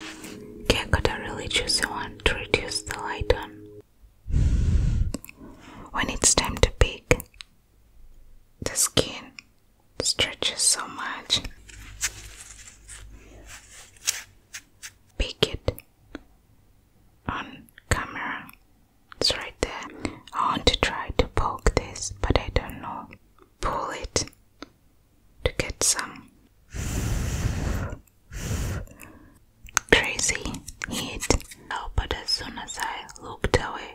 Can't Calcutta really choose the one to reduce the light on. When it's time to pick, the skin stretches so much. Pick it on camera. It's right there. I want to try to poke this, but I don't know. Pull it to get some crazy heat. but as soon as I looked away,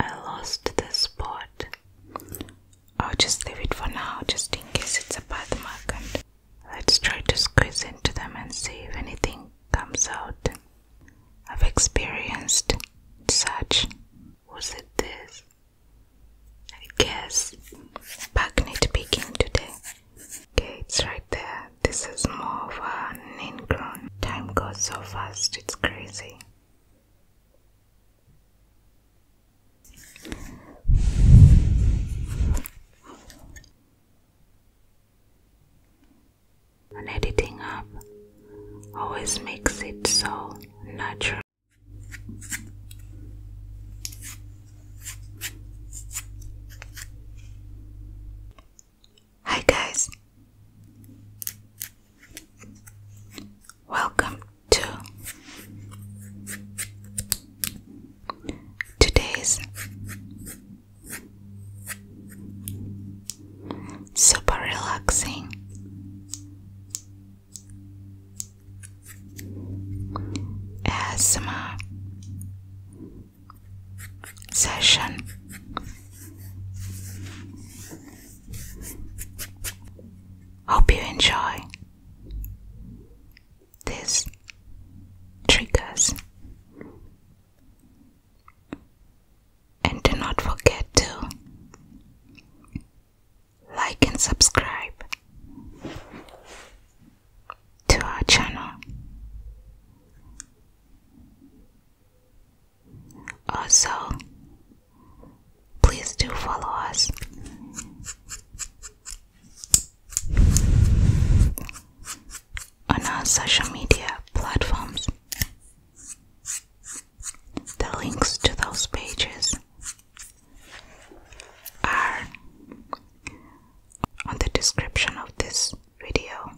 I lost the spot. I'll just leave it for now, just in case it's a birthmark. And let's try to squeeze into them and see if anything comes out. I've experienced such was it this? I guess Back to picking today. Okay, it's right there. This is more of a ingrown. Time goes so fast, it's crazy. And editing up always makes it so natural. Hi, guys, welcome to today's super relaxing ASMR session. Hope you enjoy these triggers and do not forget to like and subscribe to our channel. Also, please do follow us on our social media platforms. The links to those pages are on the description of this video.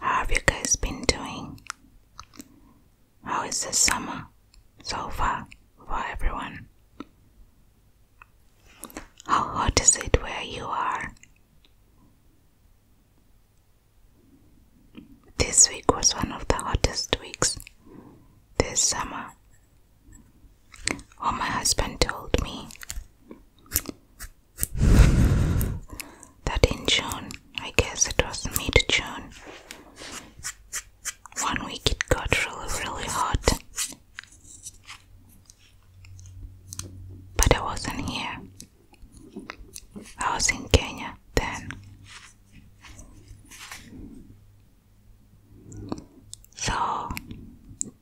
How have you guys been doing? How is the summer so far for everyone? How hot is it where you are? This week was one of the hottest weeks this summer. Or my husband told me that in June, I guess it was mid June, one week it got really, really hot. But I wasn't here. I was in Kenya then. So,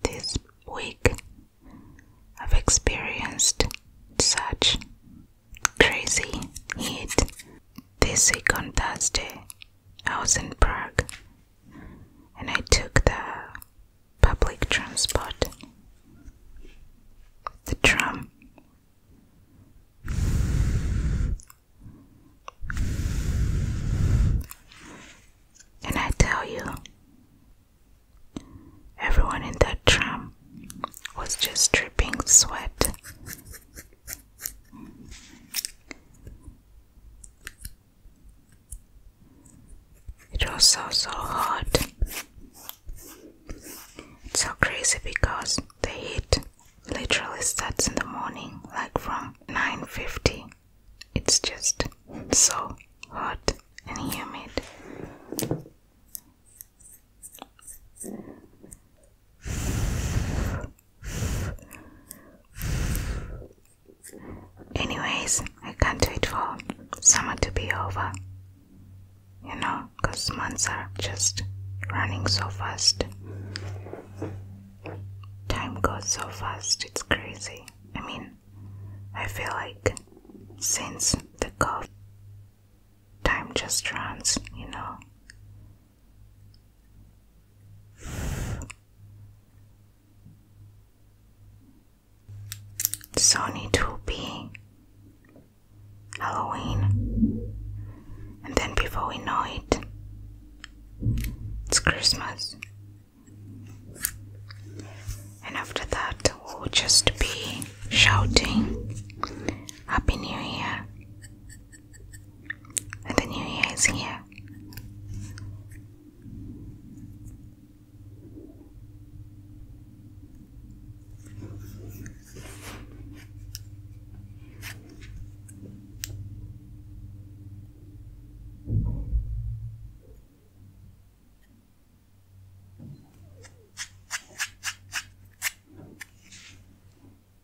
this week I've experienced such crazy heat. This week on Thursday, I was in Prague and I took the public transport, the tram. And I tell you, everyone in that tram was just dripping sweat it was so so hot. It's so crazy because the heat literally starts in the morning, like from 9:50. It's just so hot and humid. Anyways, I can't wait for summer to be over. You know, because months are just running so fast. Time goes so fast, it's crazy. I mean, I feel like since the cough, time just runs, you know. Sony to be Halloween, and then before we know it, it's Christmas, and after that, we'll just be shouting Happy New Year, and the new year is here.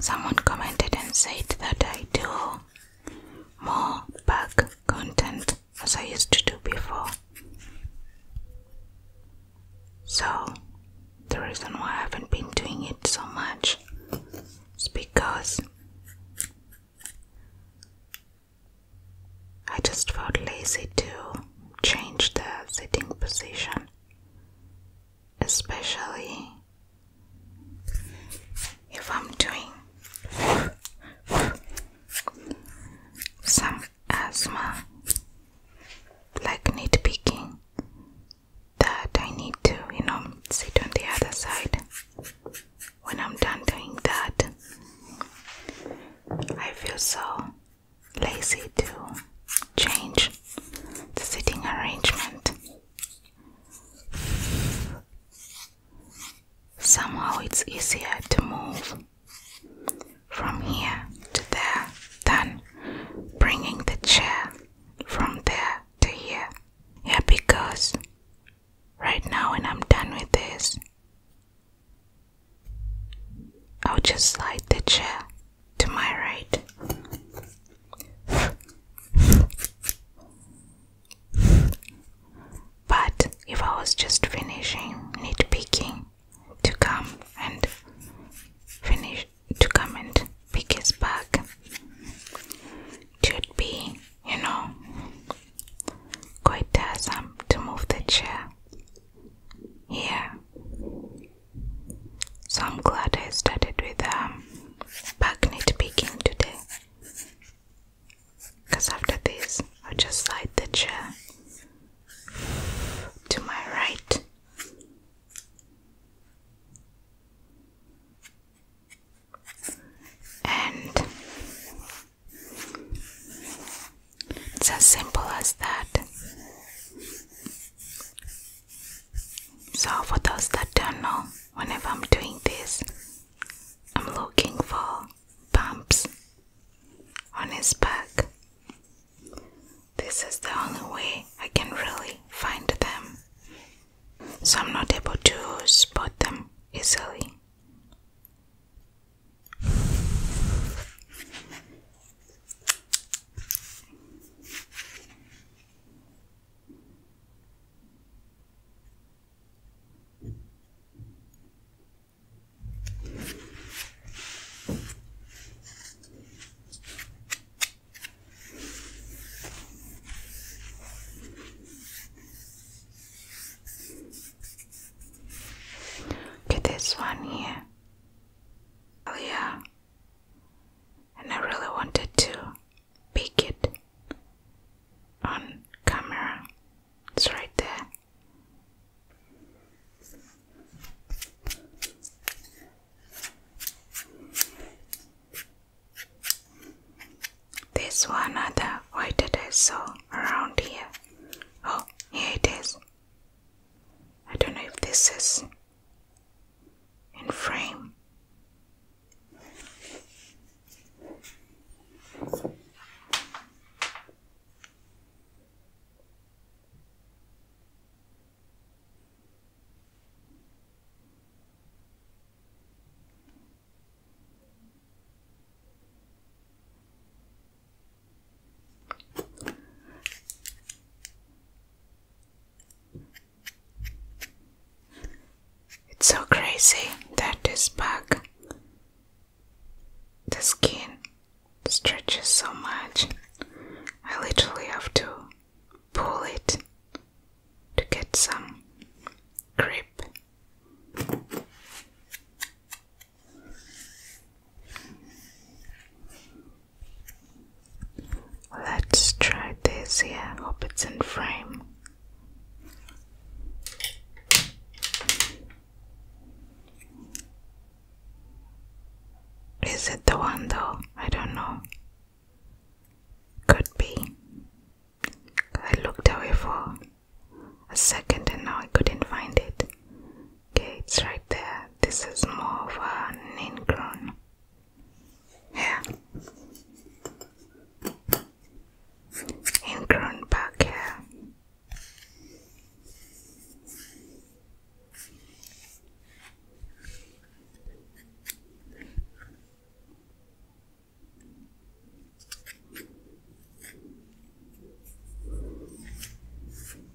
Someone commented and said that I do more bug content as I used to do before. So, the reason why I haven't been doing it so much is because I just felt lazy to change the sitting position especially if I'm doing some asthma, like nitpicking, that I need to, you know, sit on the other side. When I'm done doing that, I feel so lazy to change the sitting arrangement. Somehow it's easier to move from here to there than bringing the chair from there to here. Yeah, because right now, when I'm done with this, I'll just slide the chair to my right. But if I was just finishing nitpicking to come and finish to come and pick his bag, it should be, you know, quite tiresome to move the chair. Here, so I'm glad I started with um, back knee to begin today. Because after this, i just slide the chair to my right. And it's as simple as that. So, for those that don't know, whenever I'm doing this, I'm looking for bumps on his back. This is the only way I can really find them, so I'm not able to spot them easily. Okay, this one here. Oh yeah and I really wanted to pick it on camera. It's right there. There's one other white that I saw around here. Oh, here it is. I don't know if this is in frame. It's so crazy that this bug, the skin stretches so much. I literally have to pull it to get some grip. Let's try this here. Hope it's in frame. Is it the one though? I don't know. Could be. I looked away for a second and now I couldn't find it. Okay, it's right there. This is more of a Ningrun hair and grown back hair.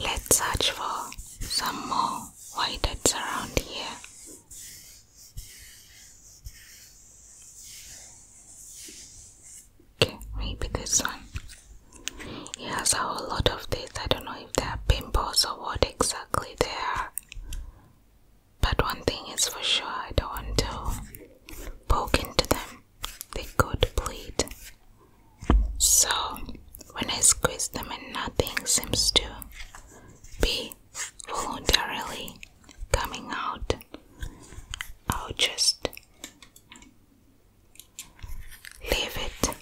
Let's search for some more whiteheads around here. Okay, maybe this one. He has a whole lot of these. I don't know if they are pimples or what exactly they are. But one thing is for sure, I don't want to poke into them. They could bleed. So when I squeeze them and nothing seems to be voluntarily coming out I'll just leave it.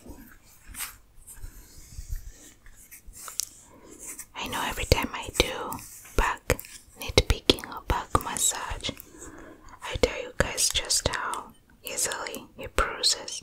I know every time I do back nitpicking or back massage, I tell you guys just how easily it bruises.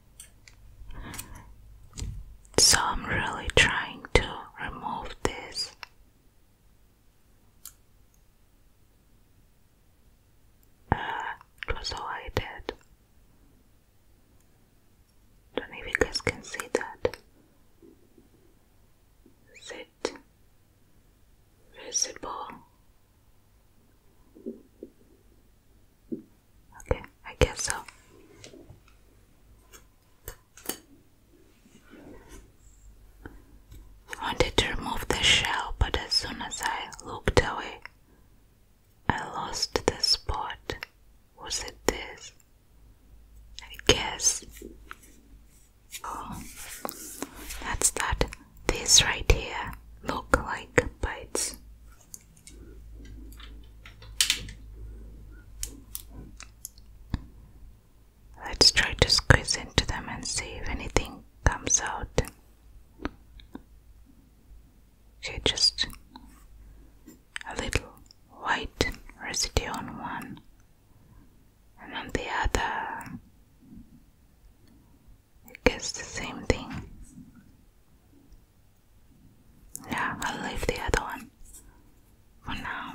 So I'm really trying to remove this. Uh, it all I did. Don't know if can see that. Is it visible? Okay, I guess so. I wanted to remove the shell, but as soon as I looked away, I lost the spot. Was it this? I guess. Oh, that's that. This right here look like bites Let's try to squeeze into them and see if anything comes out. Okay, just a little white residue on one and on the other. It gets the same thing. Yeah, I'll leave the other one for now.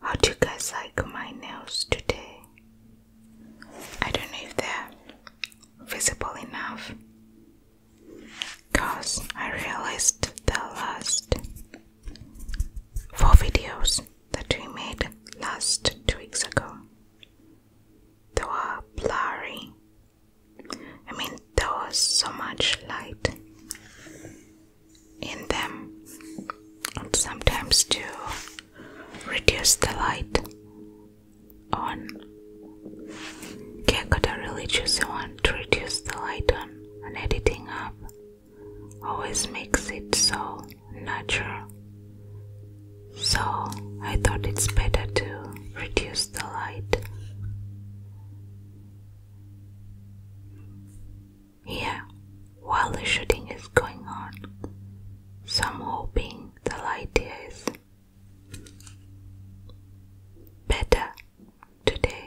How do you guys like my nails today? I don't know if they're visible enough because I realized the last four videos that we made last two weeks ago they were blurry. I mean, there was so much light in them, and sometimes to reduce the light on. Okay, I gotta really choose one to reduce the light on and editing up always makes it so natural. So I thought it's better to reduce the light here while the shooting is going on. Some hoping the light is better today.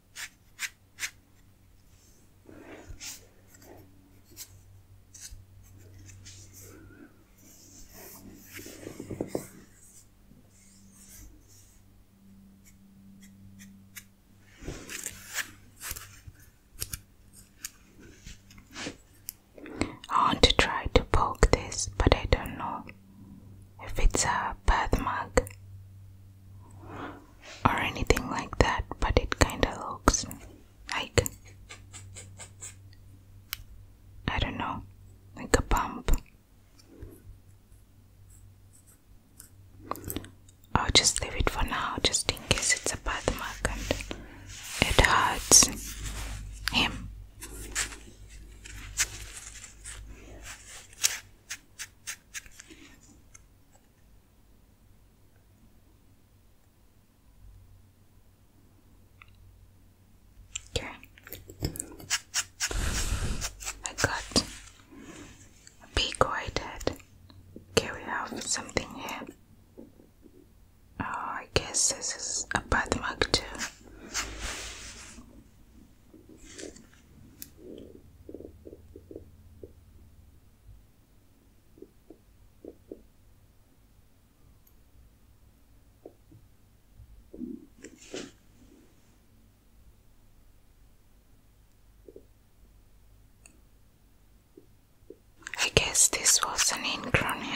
I want to try to poke this, but I don't know if it's a bath birthmark or anything like that, but it kind of looks like I don't know, like a bump I'll just leave it for now just in case it's a bath birthmark and it hurts him. Okay. I got a big white head. Okay, we have something here. Oh, I guess this is a birthmark too. I guess this was an in here.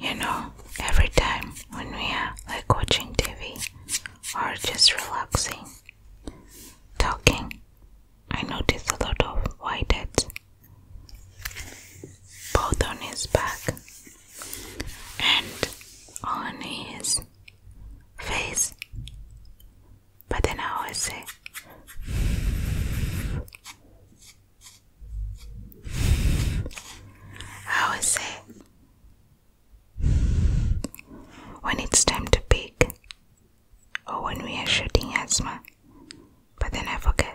You know, every time when we are like watching TV or just relaxing, talking, I notice a lot of white heads, both on his back and on his face, but then I always say. always say when it's time to bake or when we are shooting asthma, but then I forget.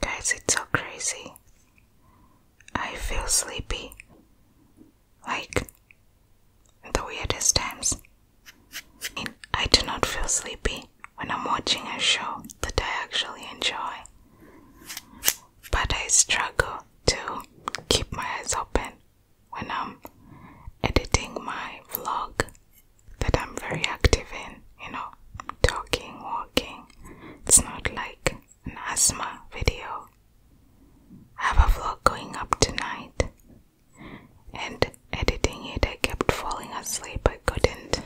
Guys, it's so crazy. I feel sleepy. Like the weirdest times. I do not feel sleepy when I'm watching a show that I actually enjoy. But I struggle to keep my eyes open when I'm editing my vlog that I'm very active in, you know, talking, walking. It's not like an asthma video. I have a vlog going up tonight, and editing it, I kept falling asleep. I couldn't.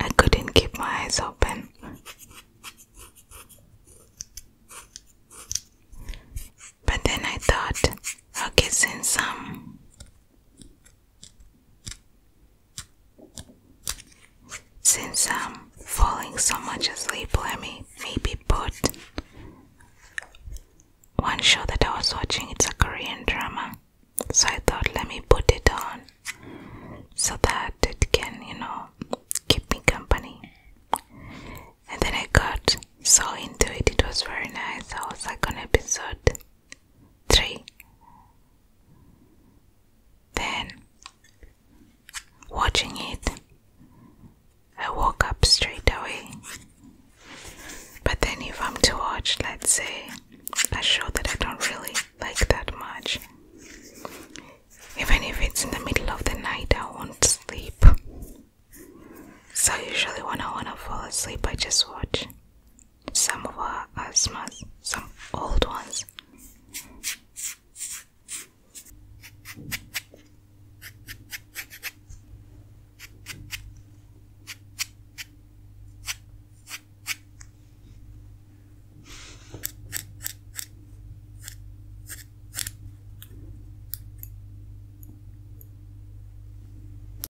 I couldn't keep my eyes open. But then I thought, okay, since i some. Since I'm falling so much asleep, let me maybe put one show that I was watching. It's a Korean drama, so I thought let me put it on so that it can, you know, keep me company. And then I got so into it, it was very nice. I was like an episode three. Then, watching it, I woke up straight away. But then, if I'm too watch, let's say, I show that I don't really like that much, even if it's in the middle of the night, I won't sleep. So, usually, when I want to fall asleep, I just watch. Some were asthmas, some old ones.